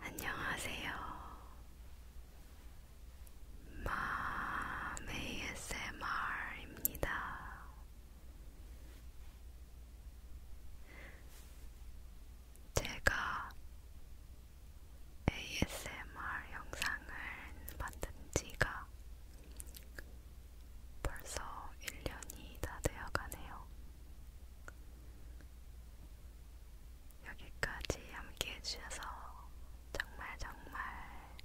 안녕하세요. 맘 ASMR입니다. 제가 ASMR 영상을 만든 지가 벌써 1년이 다 되어가네요. 여기까지 함께 해주셔서 정말 정말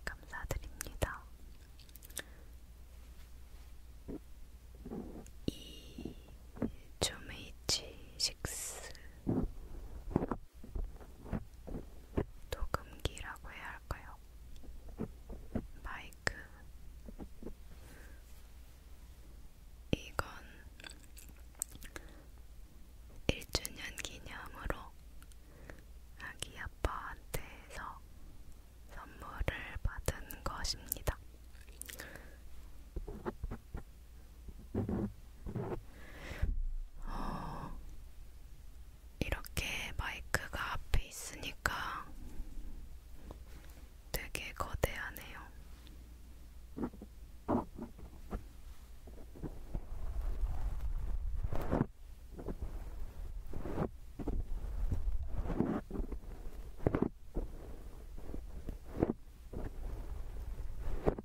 감사드립니다. 이 조메이치 식스 녹음기라고 해야 할까요? 마이크. 이건 1주년 기념으로 아기 아빠한테서 선물을 받은 것입니다. 어, 이렇게 마이크가 앞에 있으니까 되게 거대하네요. 오늘은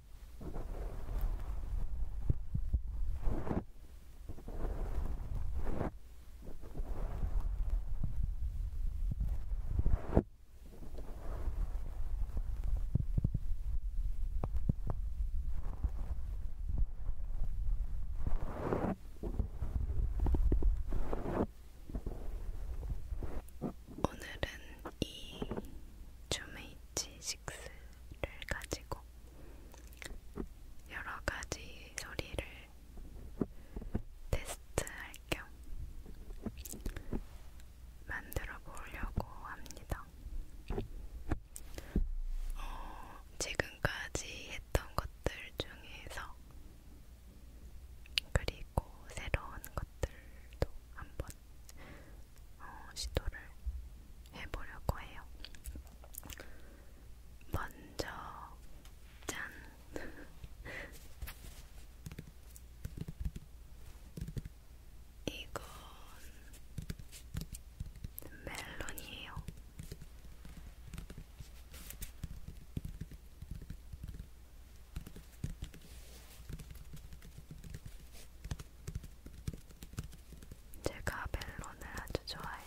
이 주메이치 매직스를 가지고 여러 가지 소리를 테스트할 겸 만들어 보려고 합니다. 어, 지금까지 했던 것들 중에서 그리고 새로운 것들도 한번 한번 어, 시도를 해보려고 해요. 먼저 짠. 이건 멜론이에요. 제가 멜론을 아주 좋아해요.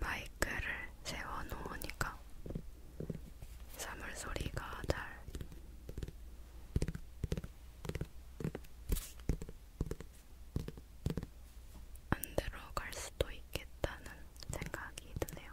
마이크를 세워놓으니까 사물 소리가 잘 안 들어갈 수도 있겠다는 생각이 드네요.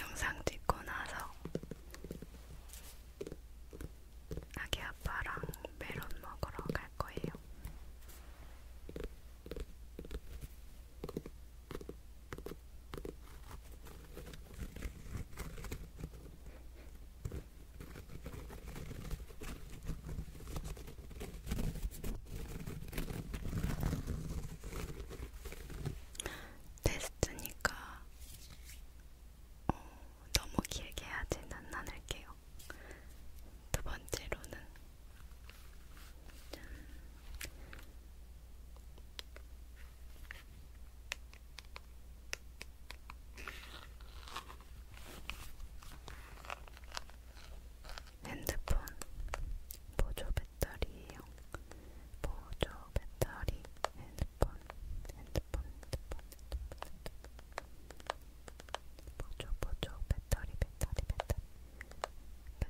영상 찍고 나서 아기 아빠랑 메론 먹으러 갈 거예요. 테스트니까 어, 너무 길게 하지는 않을게요. 두 번째로는 짠. 핸드폰 보조 배터리예요. 보조 배터리 핸드폰 핸드폰 핸드폰 핸드폰 보조 보조 배터리 배터리 배터리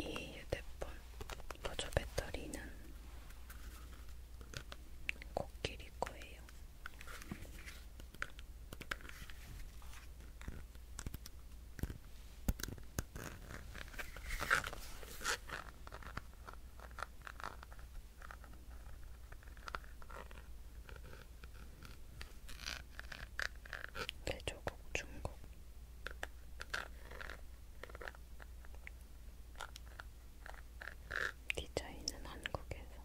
이 휴대폰 보조 배터리는 코끼리 거예요. 대조국 중국 디자인은 한국에서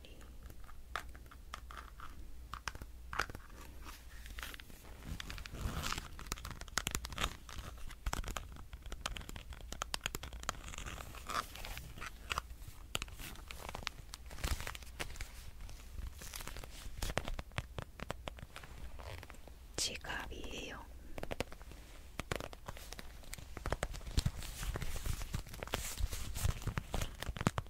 확실히 지갑이에요.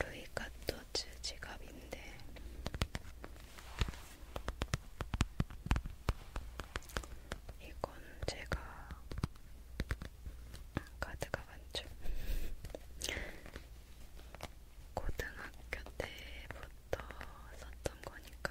루이카토츠 지갑인데 이건 제가 카드가 많죠. 고등학교 때부터 썼던 거니까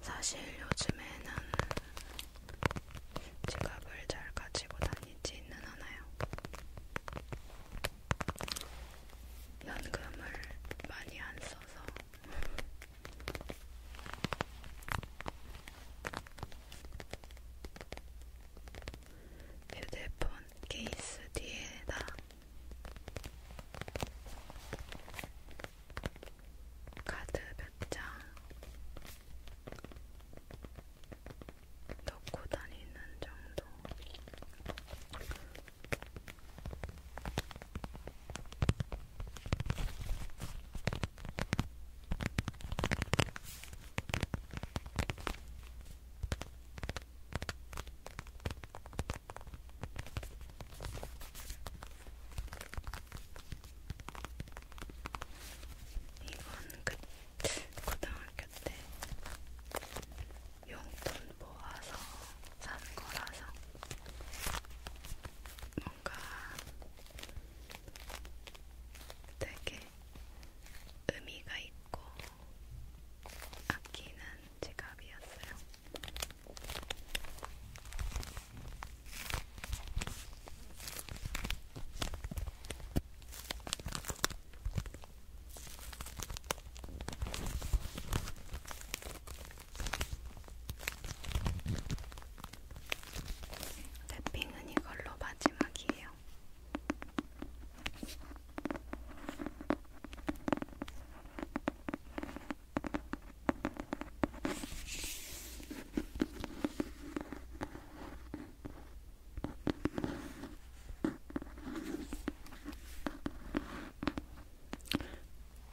사실 요즘에는 지갑을 잘 가지고 다니지는 않아요. 연금을 많이 안 써서 휴대폰 케이스 뒤에다 카드 몇 장 넣고 다니는 정도 이건 그 고등학교 때 용돈 모아서 산 거라서 뭔가 되게 의미가 있고 아끼는 지갑이었어요. 랩핑은 이걸로 마지막이에요.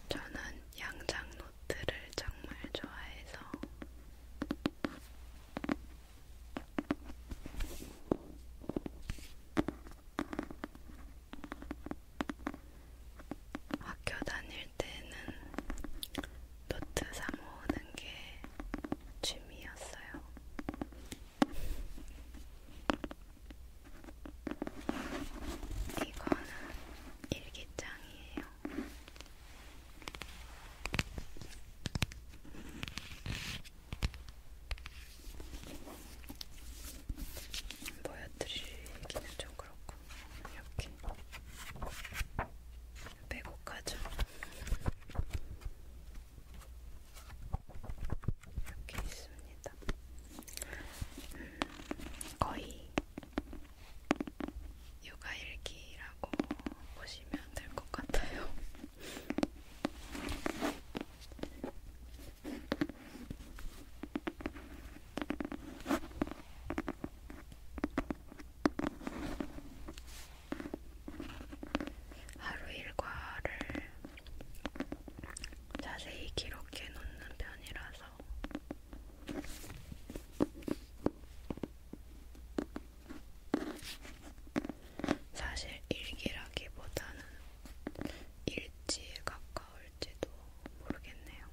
저는 양장 노트를 정말 좋아해서 학교 다닐 때는 노트 사 모으는 게 취미였어요. 이거는 일기장이에요. 같아요. 보여드리기는 좀 그렇고 이렇게 빼곡하죠. 이렇게 있습니다. 음, 거의 육아일기라고 보시면 될 것 같아요. 하루 일과를 자세히 기록해 놓는 편이라서 사실 일기라기보다는 일지에 가까울지도 모르겠네요.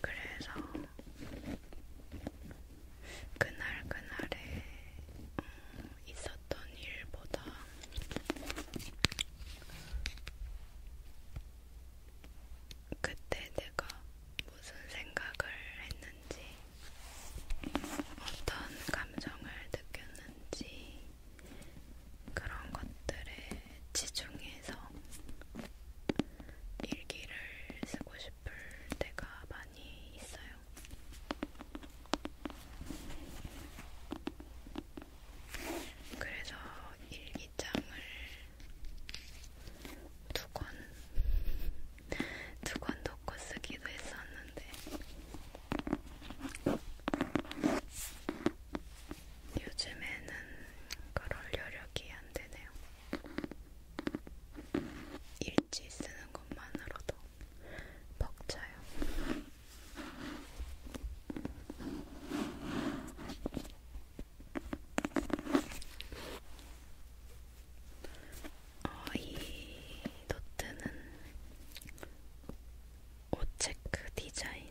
그래서 그날 그날에 음, 있었던 일보다 그때 내가 무슨 생각을 했는지 어떤 감정을 느꼈는지 그런 것들에 치중해서 일기를 쓰고 싶을 때가 많이 있어요. 그래서 일기장을 두 권 두 권 놓고 쓰기도 했었는데 요즘에는 그럴 여력이 안 되네요. 일지 쓰는 것만으로도 벅차요. 어, 이 노트는 옷체크 디자인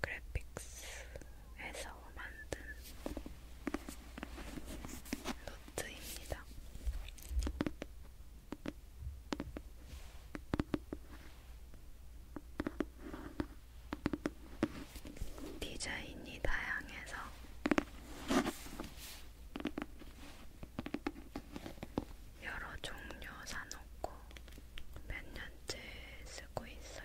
그래픽스 해서 만든 노트입니다. 디자인이 다양해서 여러 종류 사놓고 몇 년째 쓰고 쓰고 있어요.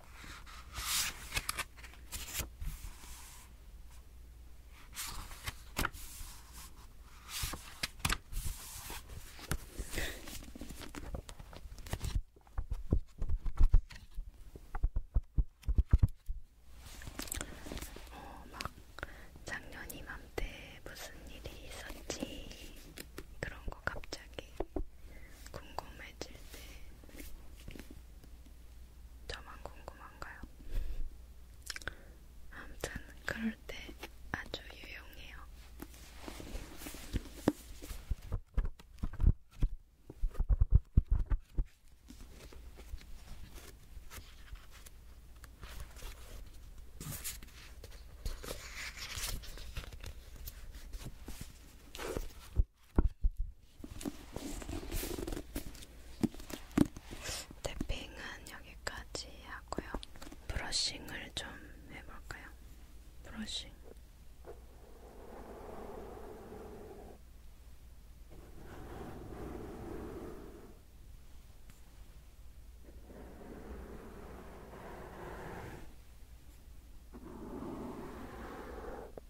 어, 막 작년 이맘때 무슨 일이 있었지 그런 거 갑자기 궁금해질 때 저만 궁금한가요? 아무튼 그럴 때 아주 유용해요. 탭핑은 여기까지 하고요. 브러싱을 좀 해볼까요? 브러싱.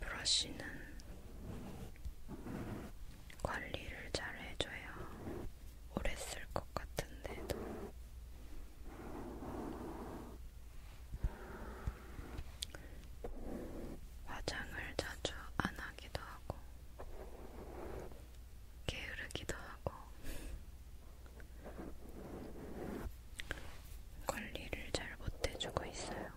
브러쉬는 관리를 잘 해줘야 오래 쓸 것 같은데도 화장을 자주 안 하기도 하고 게으르기도 하고 관리를 잘 못해주고 있어요.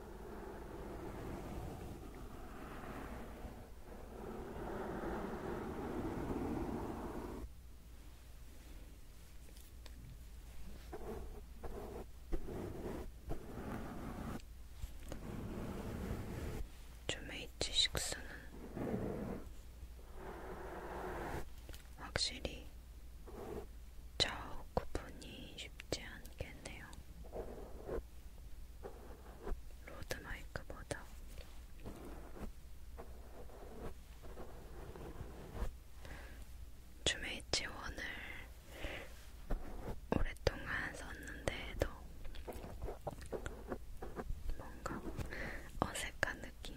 주메이츠 식스는 확실히 좌우 구분이 쉽지 않게 했네요. 로드 마이크보다 주메이치 원을 오랫동안 썼는데도 뭔가 어색한 느낌.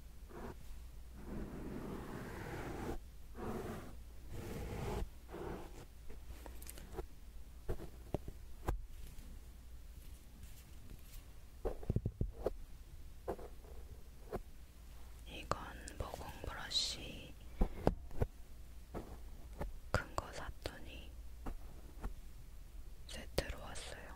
이건 모공 브러쉬 큰 거 샀더니 세트로 왔어요.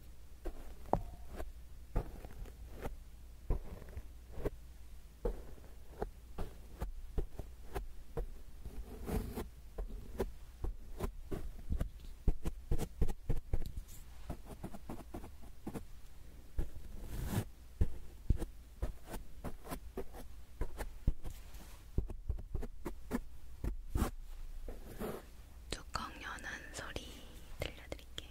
뚜껑 여는 소리 들려드릴게요.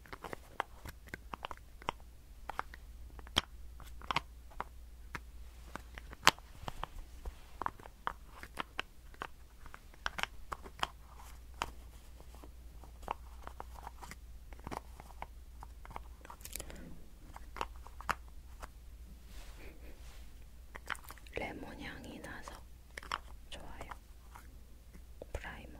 레몬 향이 나서 좋아요. 프라이머.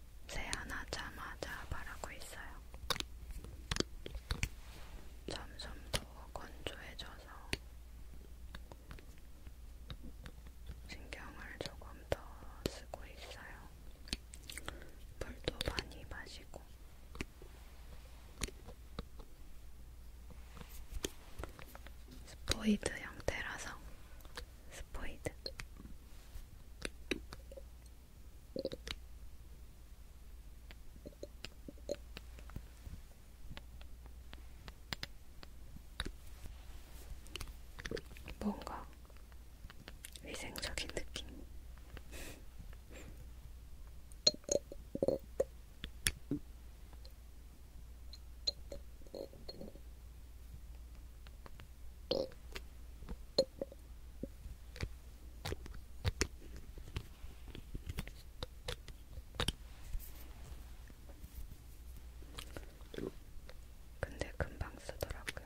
세안하자마자 바르고 있어요. 점점 더 건조해져서 신경을 조금 더 쓰고 있어요. 물도 많이 마시고. 스포이드 형태라서 스포이드 뭔가 위생적인 느낌. 근데 금방 쓰더라고요.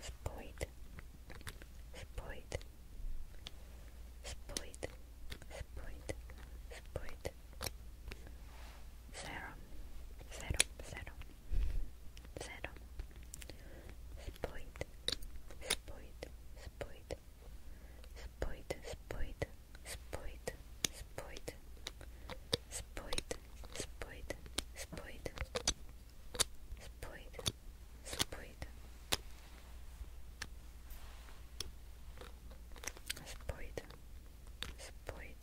Spoit, spoit, spoit, spoit, spoit, serum, Zero. Spójt, spójt, spójt, spójt, spójt, spójt, spójt, spójt, spójt, spójt, spójt, spójt, spójt, spójt,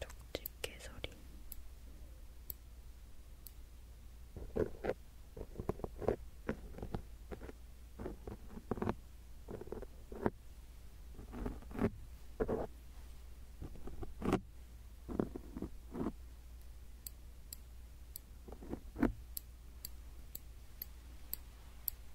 쪽집 개소리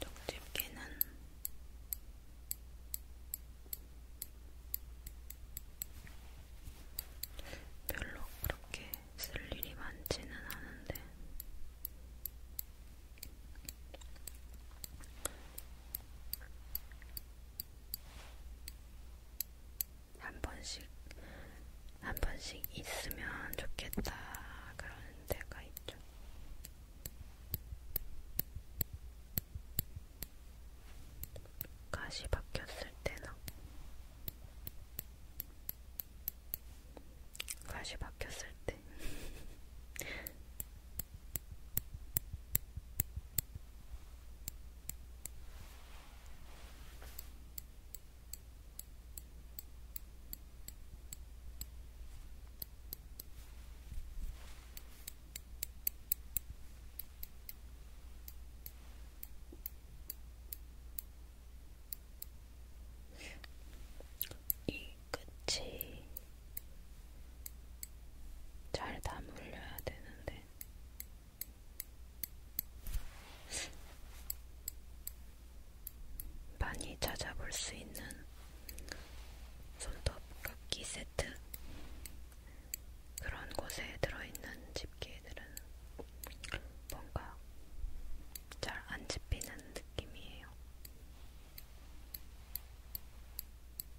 쪽집게는 별로 그렇게 쓸 일이 많지는 않은데 한 번씩, 한 번씩 있으면 좋겠다. 그런 데가 있죠. 가시 박혔을 때나, 가시 박혔을 때. 이 끝이 잘 다물려야 되는데. 많이 찾아볼 수 있는 손톱 깎기 세트 그런 곳에 들어있는 집게들은 뭔가 잘 안 집히는 느낌이에요.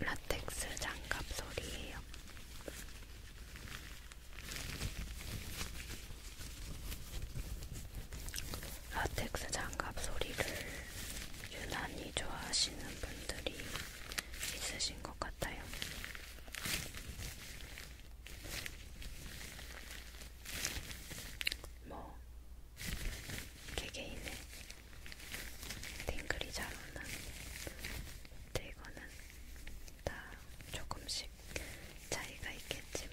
라텍스 장갑 소리예요. 라텍스 장갑 소리를 유난히 좋아하시는 분들이 있으신 것 같아요. 같아요. 뭐 개개인의 땡글이 잘 오는 근데 이거는 다 조금씩 차이가 있겠지만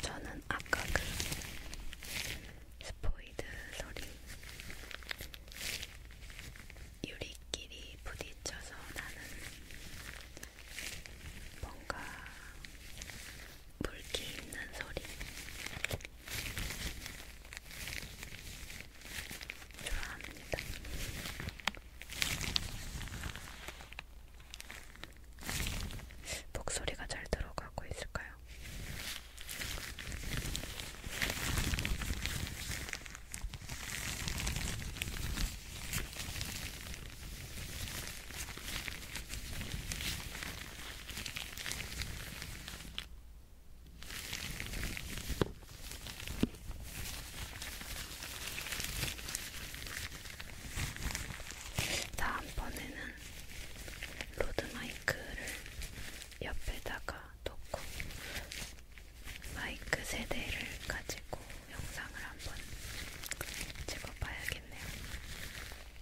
저는 아까 그 스포이드 소리 유리끼리 부딪혀서 나는 뭔가 물기 있는 소리 좋아합니다. 목소리가 잘 들어가고 있을까요? 다음번에는 로드마이크를 옆에다가 놓고 마이크 세대를 가지고 영상을 한번 찍어봐야겠네요.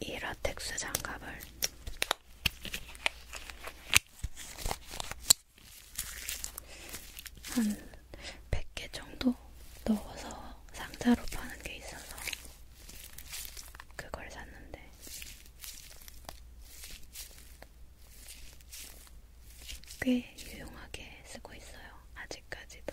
이 라텍스 장갑을 한 100개 정도 넣어서 상자로 파는 게 있어서 그걸 샀는데 꽤 유용하게 쓰고 있어요. 아직까지도.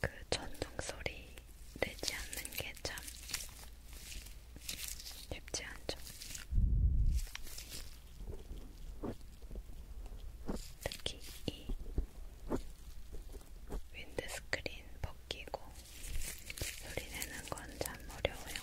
그 전동 소리 내지 않는 게 참 쉽지 않죠. 특히 이 윈드스크린 벗기고 소리 내는 건 참 어려워요.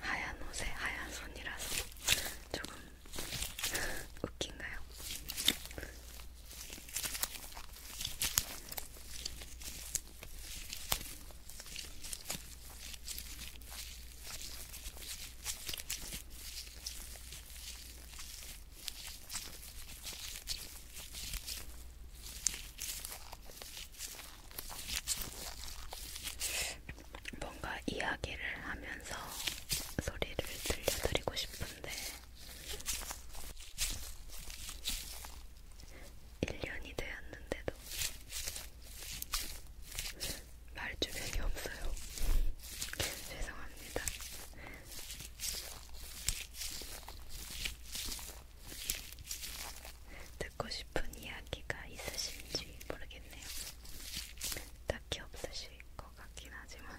하얀 옷에 하얀 손이라서 조금 웃긴가요? 뭔가 이야기를 하면서 소리를 들려드리고 싶은데 1년이 되었는데도 말 주변이 없어요. 죄송합니다. 듣고 싶은 이야기가 있으신지 모르겠네요. 딱히 없으실 것 같긴 하지만.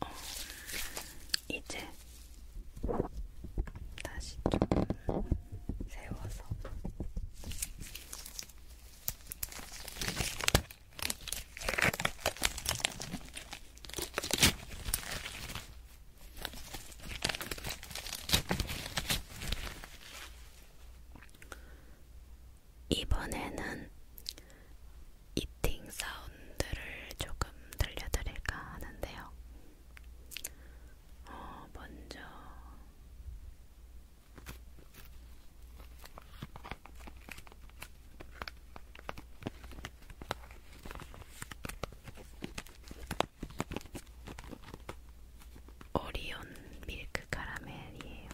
어, 이제 다시 조금 세워서 이번에는 이팅 사우 사운드를 조금 들려드릴까 하는데요. 어, 먼저 오리온 밀크 카라멜이에요.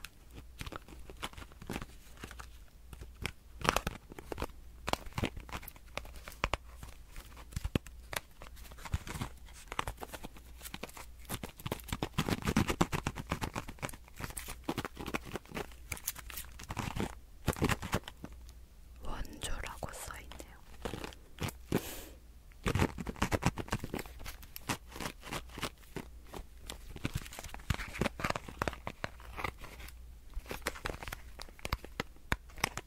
원조라고 써있네요.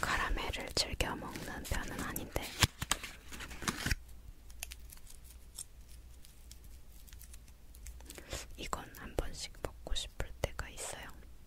카라멜을 즐겨 먹는 편은 아닌데 이건 한 번씩 먹고 싶을 때가 있어요.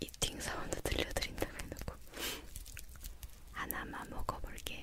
이팅 사운드 들려드린다고 해놓고 하나만 먹어볼게요.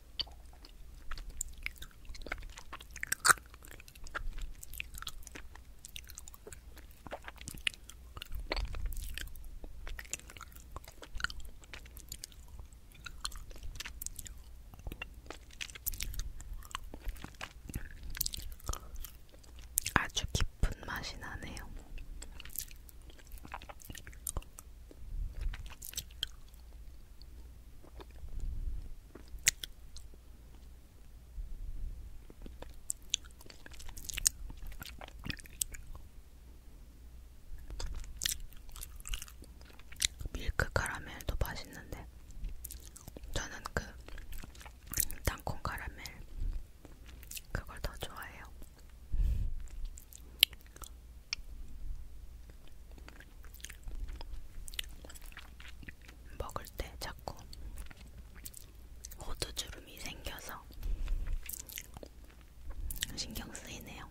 아주 깊은 맛이 나네요. 밀크 카라멜도 맛있는데 저는 그 땅콩 카라멜 그걸 더 좋아해요. 먹을 때 자꾸 호두주름이 생겨서 신경 쓰이네요.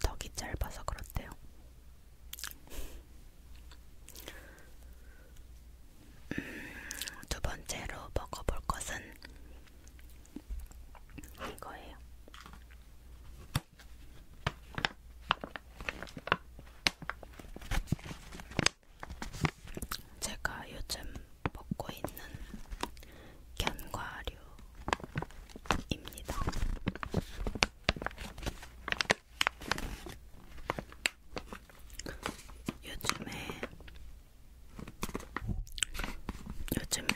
턱이 짧아서 그렇대요. 음, 두 번째로 먹어볼 것은 이거예요. 제가 요즘 먹고 있는 견과류입니다. 요즘에 요즘에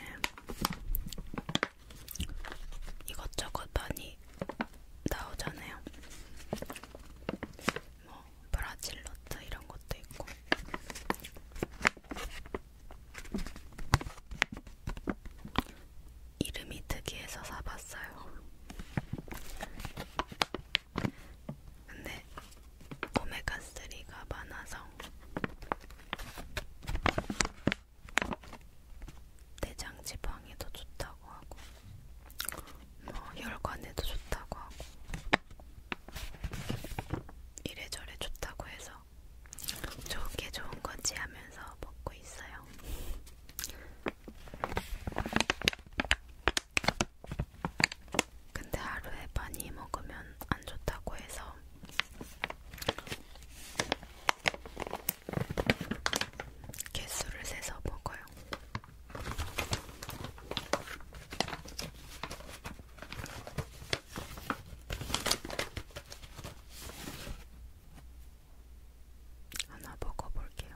이것저것 많이 나오잖아요. 뭐 브라질 너트 이런 것도 있고. 이름이 특이해서 사봤어요. 근데 오메가3가 많아서 대장 지방에도 좋다고 하고 뭐 혈관에도 좋다고 하고 이래저래 좋다고 해서 좋은 게 좋은 거지 하면서 먹고 있어요. 근데 하루에 많이 먹으면 안 좋다고 해서 개수를 세서 먹어요. 하나 먹어볼게요.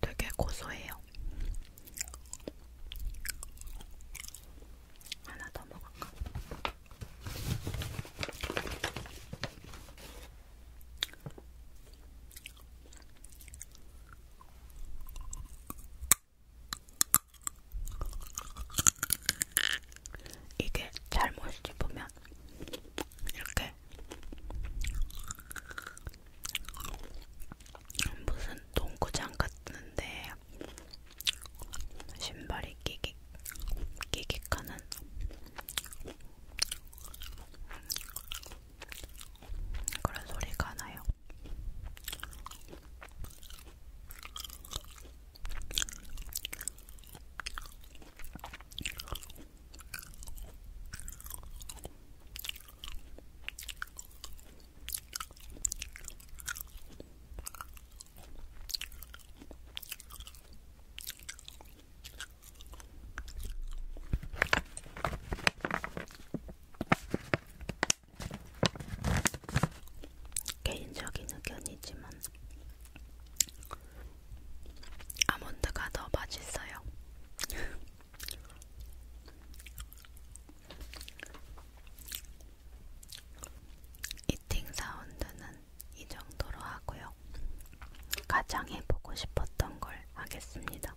되게 고소해요. 하나 더 먹을까? 이게 잘못 씹으면 이렇게 왜? 무슨 농구장 같은데 신발이 끼깃 끼깃하는 그런 소리가 나요. 개인적인 의견이지만 아몬드가 더 맛있어요. 이팅 사운드는 이 정도로 하고요. 가장 해보고 싶었던 걸 하겠습니다.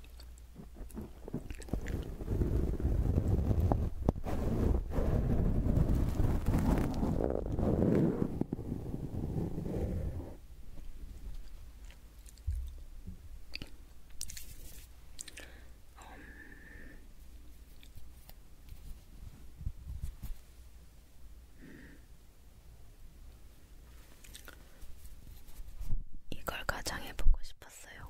음. 이걸 가장 해보고 싶었어요.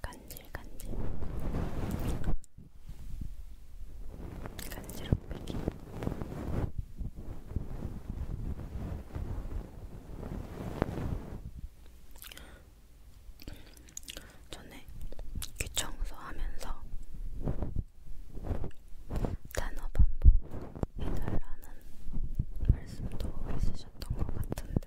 간질간질 간지럽기 전에 귀 청소하면서 단어 반복 해달라는 말씀도 있으셨던 것 같은데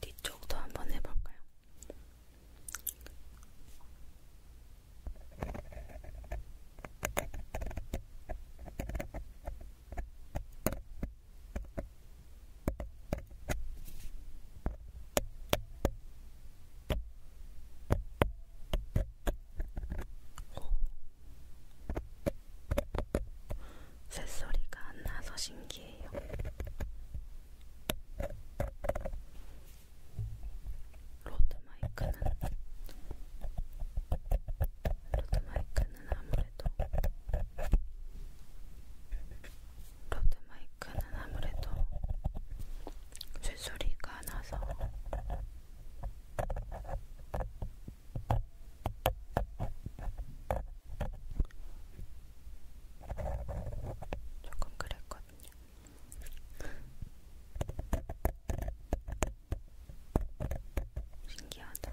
뒤쪽도 한번 해볼까요? 오. 새소리가 안 나서 신기해요. 로드 마이크는 로드 마이크는 아무래도 로드 마이크는 아무래도 쇠소리가 나서 조금 그랬거든요. 신기하다.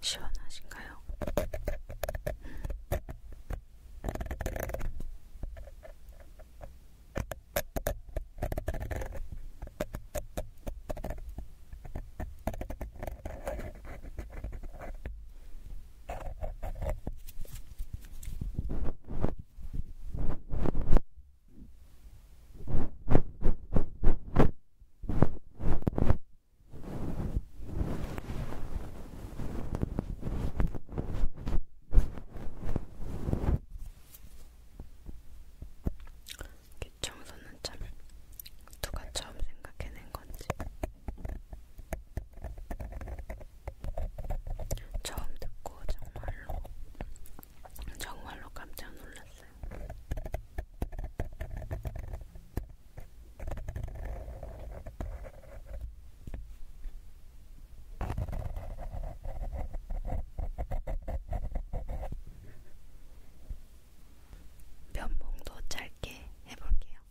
시원하신가요? 귀청소는 참 누가 처음 생각해낸 건지 처음 듣고 정말로 정말로 깜짝 놀랐어요. 면봉도 짧게 해볼게요.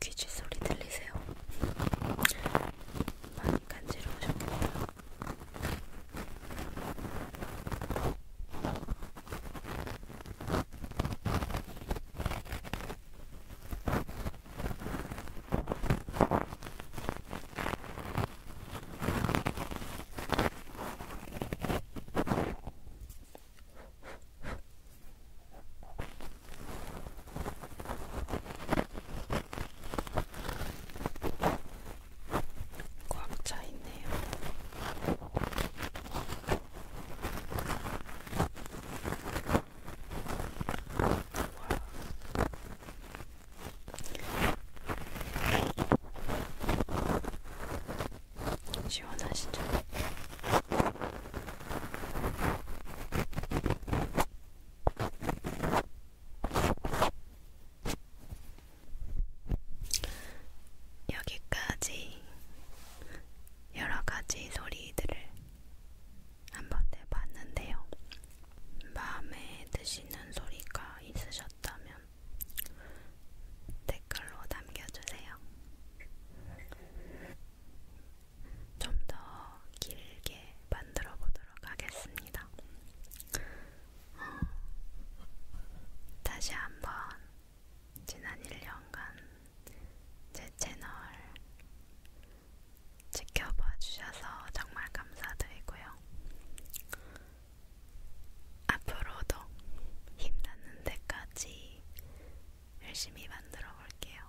귀지 소리 들리세요? 많이 간지러우셨겠다. 꽉차 있네요. 와. 시원하시죠? 여기까지 여러가지 소리들을 한번 내봤는데요. 마음에 드시는 소리가 있으셨다면 있으면 댓글로 남겨주세요. 좀 더 길게 만들어 보도록 하겠습니다. 어, 다시 한번 지난 1년간 제 채널 지켜봐 주셔서 정말 감사드리고요. 앞으로도 힘나는 데까지 열심히 만들어 볼게요.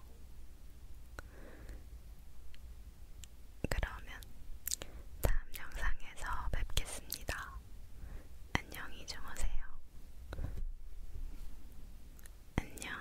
그러면 다음 영상에서 뵙겠습니다. 안녕히 주무세요. 안녕.